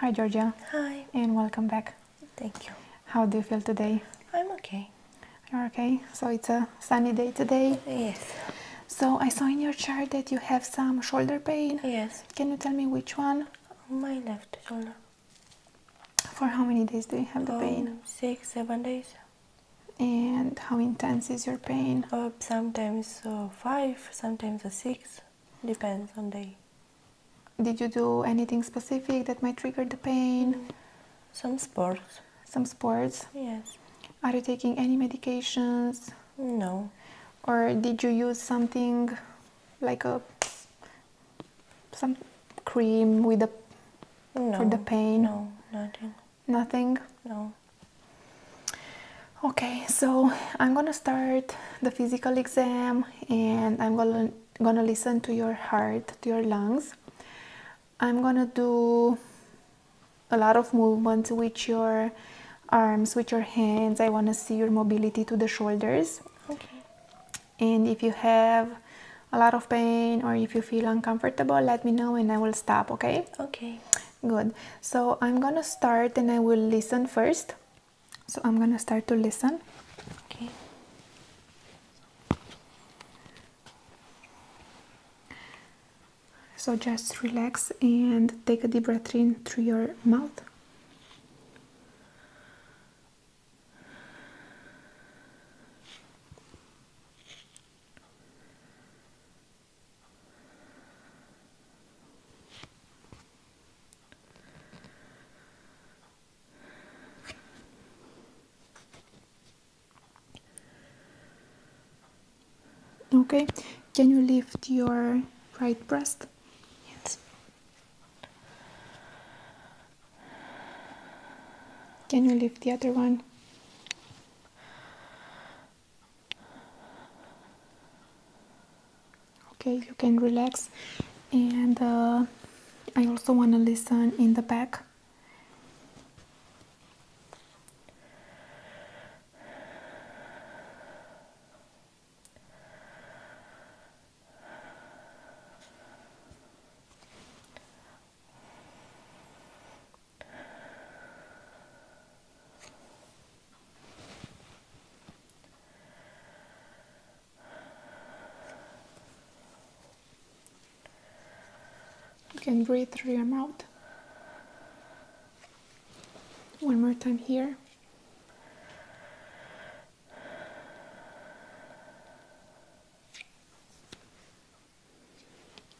Hi Georgia. Hi. And welcome back. Thank you. How do you feel today? I'm okay. You're okay? So it's a sunny day today? Yes. So I saw in your chart that you have some shoulder pain. Yes. Can you tell me which one? My left shoulder. For how many days do you have the pain? Um, six, seven days. And how intense is your pain? Um, sometimes uh, five, sometimes uh, six. Depends on day. Did you do anything specific that might trigger the pain? Some sports. Some sports? Yes. Are you taking any medications? No. Or did you use something like a some cream with the no, for the pain? No, nothing. Nothing? No. Okay, so I'm gonna start the physical exam and I'm gonna, gonna listen to your heart, to your lungs. I'm gonna do a lot of movements with your arms, with your hands. I wanna see your mobility to the shoulders. Okay. And if you have a lot of pain or if you feel uncomfortable, let me know and I will stop, okay? Okay. Good. So I'm gonna start and I will listen first. So I'm gonna start to listen. Okay. So just relax and take a deep breath in through your mouth. Okay, can you lift your right breast? Yes. Can you lift the other one? okay you can relax and uh, I also want to listen in the back you can breathe through your mouth. One more time here.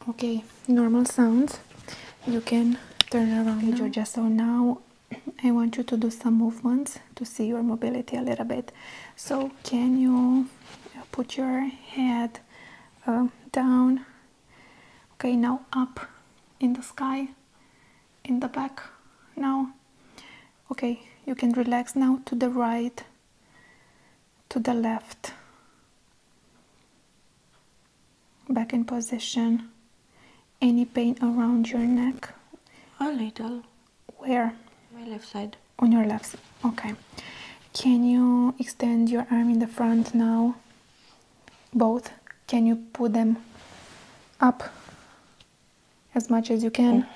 Okay, normal sounds. You can turn around okay, Georgia. So now I want you to do some movements to see your mobility a little bit. So, can you uh, put your head um, down? Okay, now up in the sky, in the back now. Okay, you can relax now to the right, to the left. Back in position. Any pain around your neck? A little. Where? My left side. On your left Okay. Can you extend your arm in the front now? Both? Can you put them up as much as you can?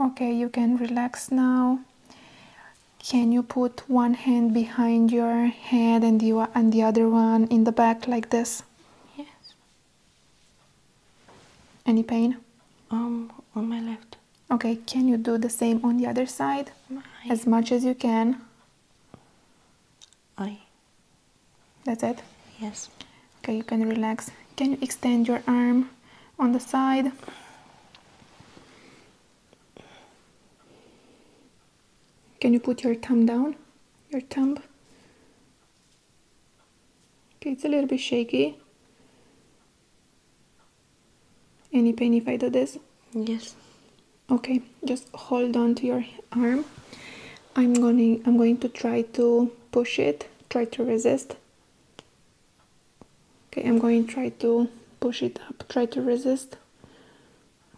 Okay, you can relax now can you put one hand behind your head and you and the other one in the back like this yes any pain um on my left okay can you do the same on the other side as much as you can i that's it yes okay you can relax can you extend your arm on the side can you put your thumb down? Your thumb? Okay, it's a little bit shaky. Any pain if I do this? Yes. Okay, just hold on to your arm. I'm going I'm going to try to push it, try to resist. Okay, I'm going to try to push it up, try to resist.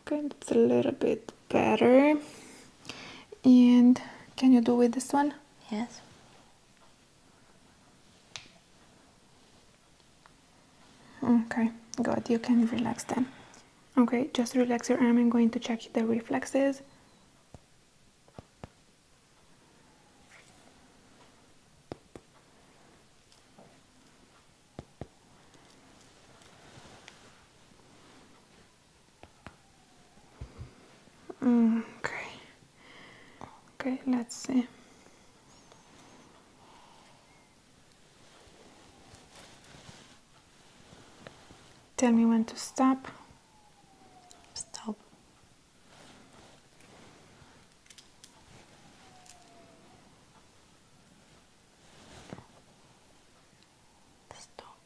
Okay, it's a little bit better. And can you do with this one? Yes. Okay, good. You can relax then. Okay, just relax your arm. I'm going to check the reflexes. Mm, okay. Okay, let's see. Tell me when to stop. Stop. Stop.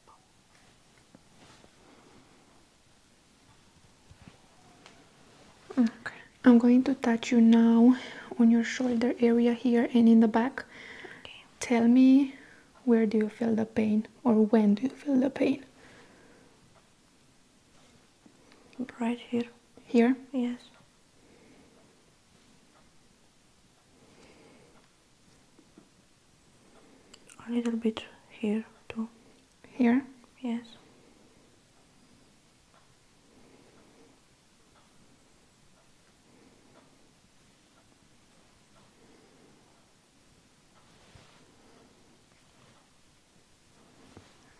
Okay. I'm going to touch you now on your shoulder area here and in the back. Okay. Tell me where do you feel the pain or when do you feel the pain? right here. Here? Yes. A little bit here too. Here? Yes.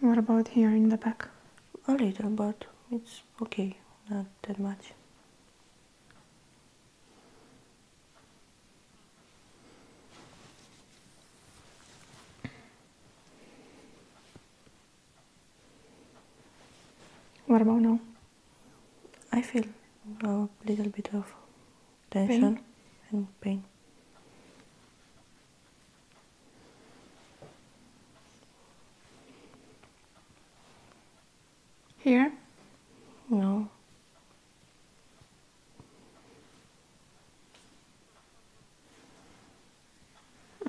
What about here in the back? A little, but it's okay, not that much. What about now? I feel a little bit of tension and pain. Here? No.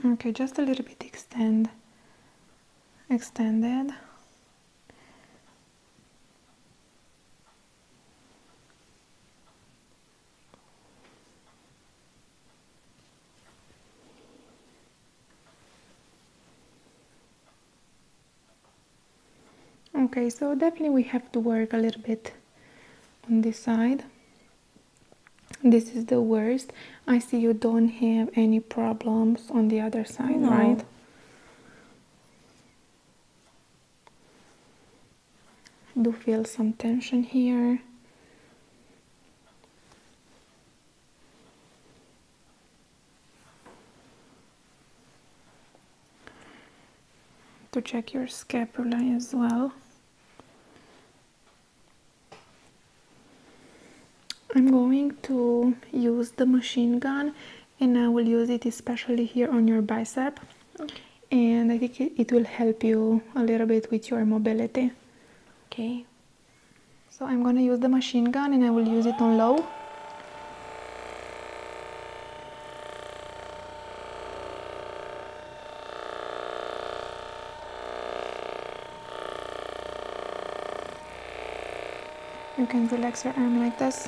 Okay, just a little bit extend, extended okay so definitely we have to work a little bit on this side this is the worst i see you don't have any problems on the other side right do feel some tension here. To check your scapula as well. I'm going to use the machine gun and I will use it especially here on your bicep and I think it will help you a little bit with your mobility. Okay. So I'm gonna use the machine gun and I will use it on low. You can relax your arm like this.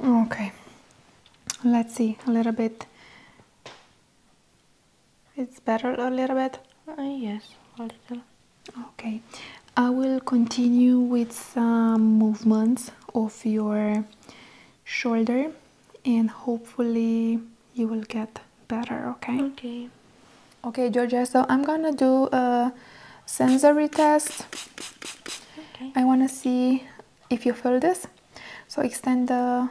Okay, let's see a little bit it's better a little bit? Uh, yes, a little. Okay, I will continue with some movements of your shoulder and hopefully you will get better, okay? Okay. Okay, Georgia, so I'm gonna do a sensory test. Okay. I wanna see if you feel this. So extend the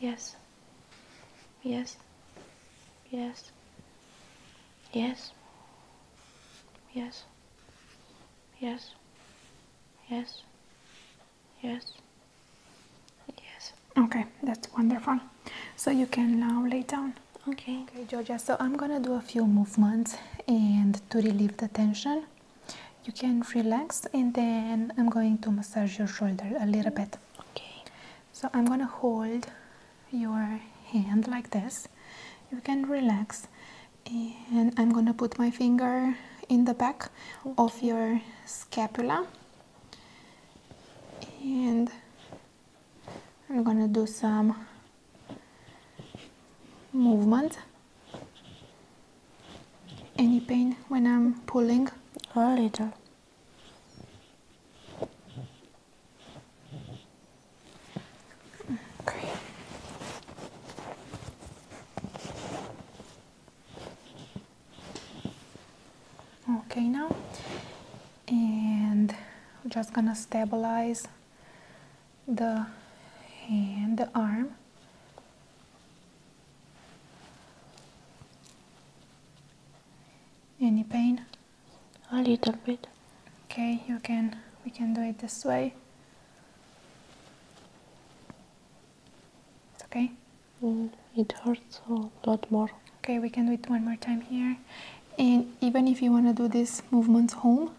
Yes. Yes. Yes. Yes. Yes. Yes. Yes. Yes. Yes. Okay, that's wonderful. So you can now lay down. Okay. Okay, Georgia. So I'm gonna do a few movements and to relieve the tension. You can relax and then I'm going to massage your shoulder a little mm-hmm. bit. Okay, so I'm gonna hold your hand like this. You can relax, and I'm gonna put my finger in the back of your scapula, and I'm gonna do some movement. Any pain when I'm pulling? A little. Great. Okay, now, and I'm just gonna stabilize the hand, the arm any pain? A little bit. Okay, you can we can do it this way. It's okay? Mm, it hurts a lot more. Okay, we can do it one more time here. And even if you want to do these movements home,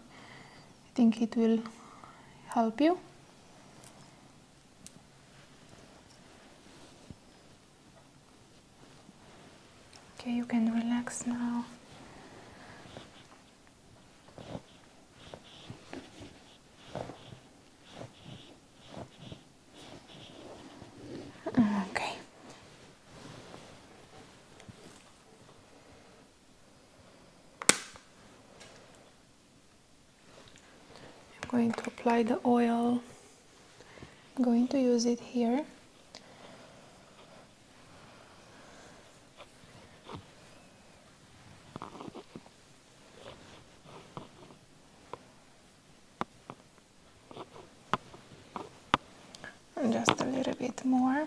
I think it will help you. Okay, you can relax now. Okay. I'm going to apply the oil. I'm going to use it here. And just a little bit more.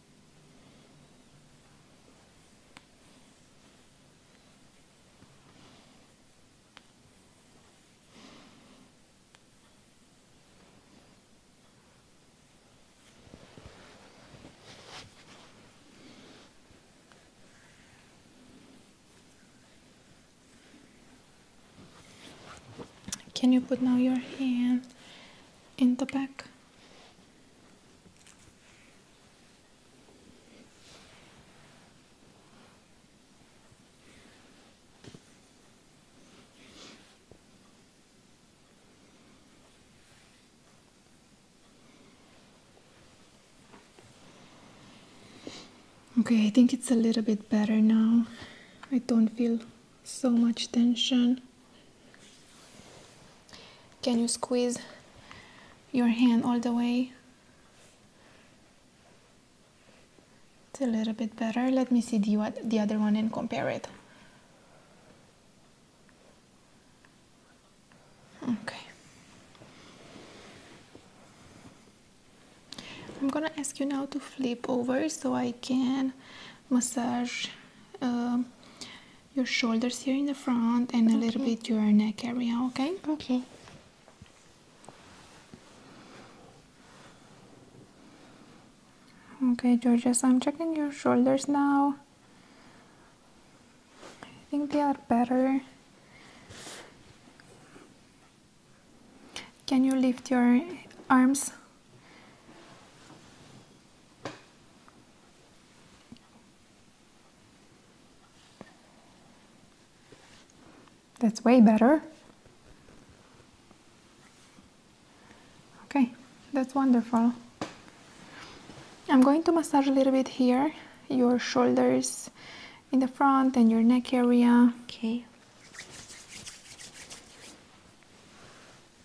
Can you put now your hand in the back? Okay, I think it's a little bit better now. I don't feel so much tension. Can you squeeze your hand all the way? It's a little bit better. Let me see the, the other one and compare it. Okay. I'm gonna ask you now to flip over so I can massage uh, your shoulders here in the front and a little bit your neck area, okay? Okay. Okay, Georges, I'm checking your shoulders now. I think they are better. Can you lift your arms? That's way better. Okay, that's wonderful. I'm going to massage a little bit here, your shoulders in the front and your neck area. Okay.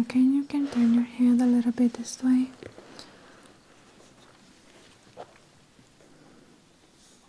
Okay, you can turn your head a little bit this way.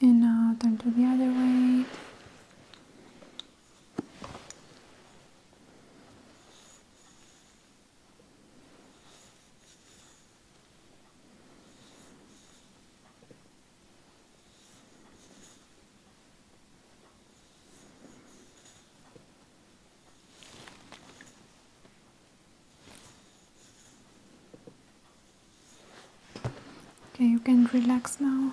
and now turn to the other way Okay, you can relax now.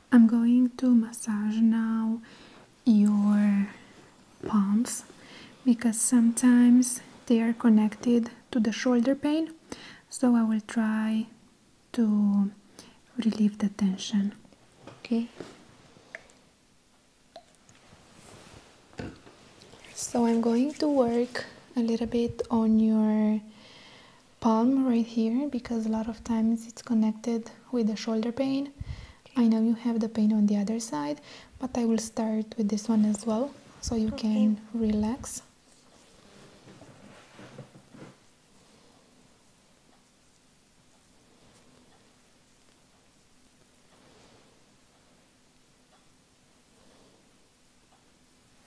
I'm going to massage now your palms because sometimes they are connected to the shoulder pain. So I will try to relieve the tension. Okay. So I'm going to work a little bit on your palm right here because a lot of times it's connected with the shoulder pain. I know you have the pain on the other side, but I will start with this one as well so you can relax.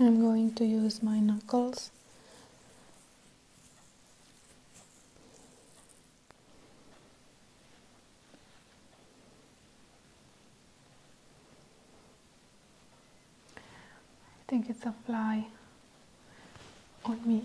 I'm going to use my knuckles I think it's a fly on me.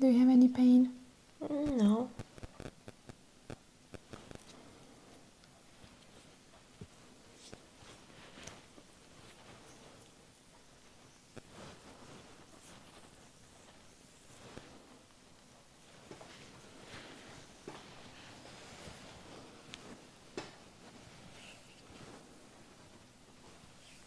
Do you have any pain? Mm, no.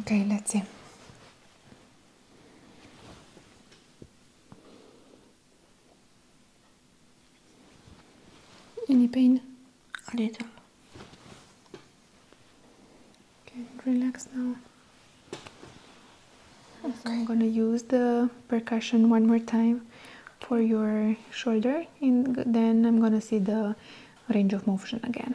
Okay, let's see. Any pain? A little. Okay, relax now. I'm gonna use the percussion one more time for your shoulder and then I'm gonna see the range of motion again.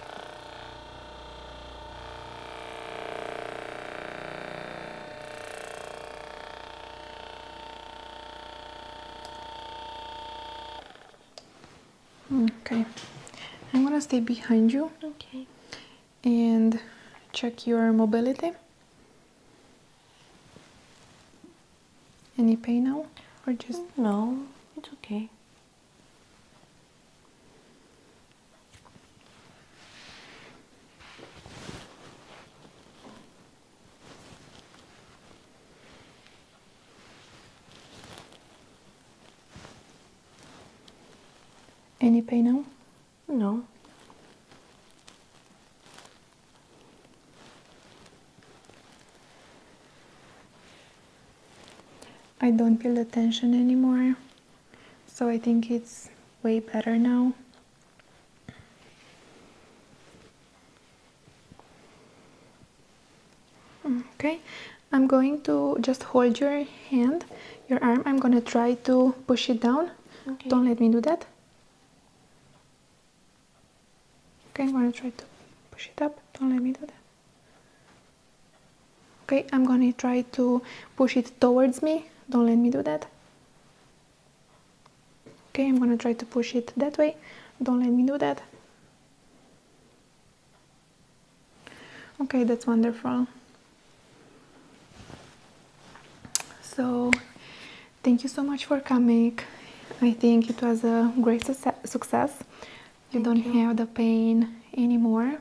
Okay, I'm gonna stay behind you. Okay. And check your mobility. Any pain now, or just no? It's okay. Any pain now? No. I don't feel the tension anymore so I think it's way better now okay I'm going to just hold your hand your arm I'm gonna try to push it down don't let me do that okay I'm gonna try to push it up don't let me do that Okay, I'm gonna try to push it towards me. Don't let me do that. Okay, I'm gonna try to push it that way. Don't let me do that. Okay, that's wonderful. So, thank you so much for coming. I think it was a great success you don't have the pain anymore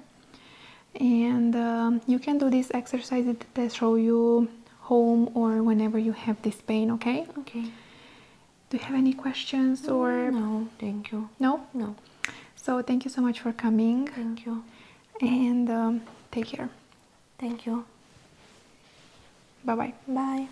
and um, you can do these exercises that show you home or whenever you have this pain okay okay do you have any questions or mm, no thank you no no so thank you so much for coming thank you and um, take care thank you bye bye bye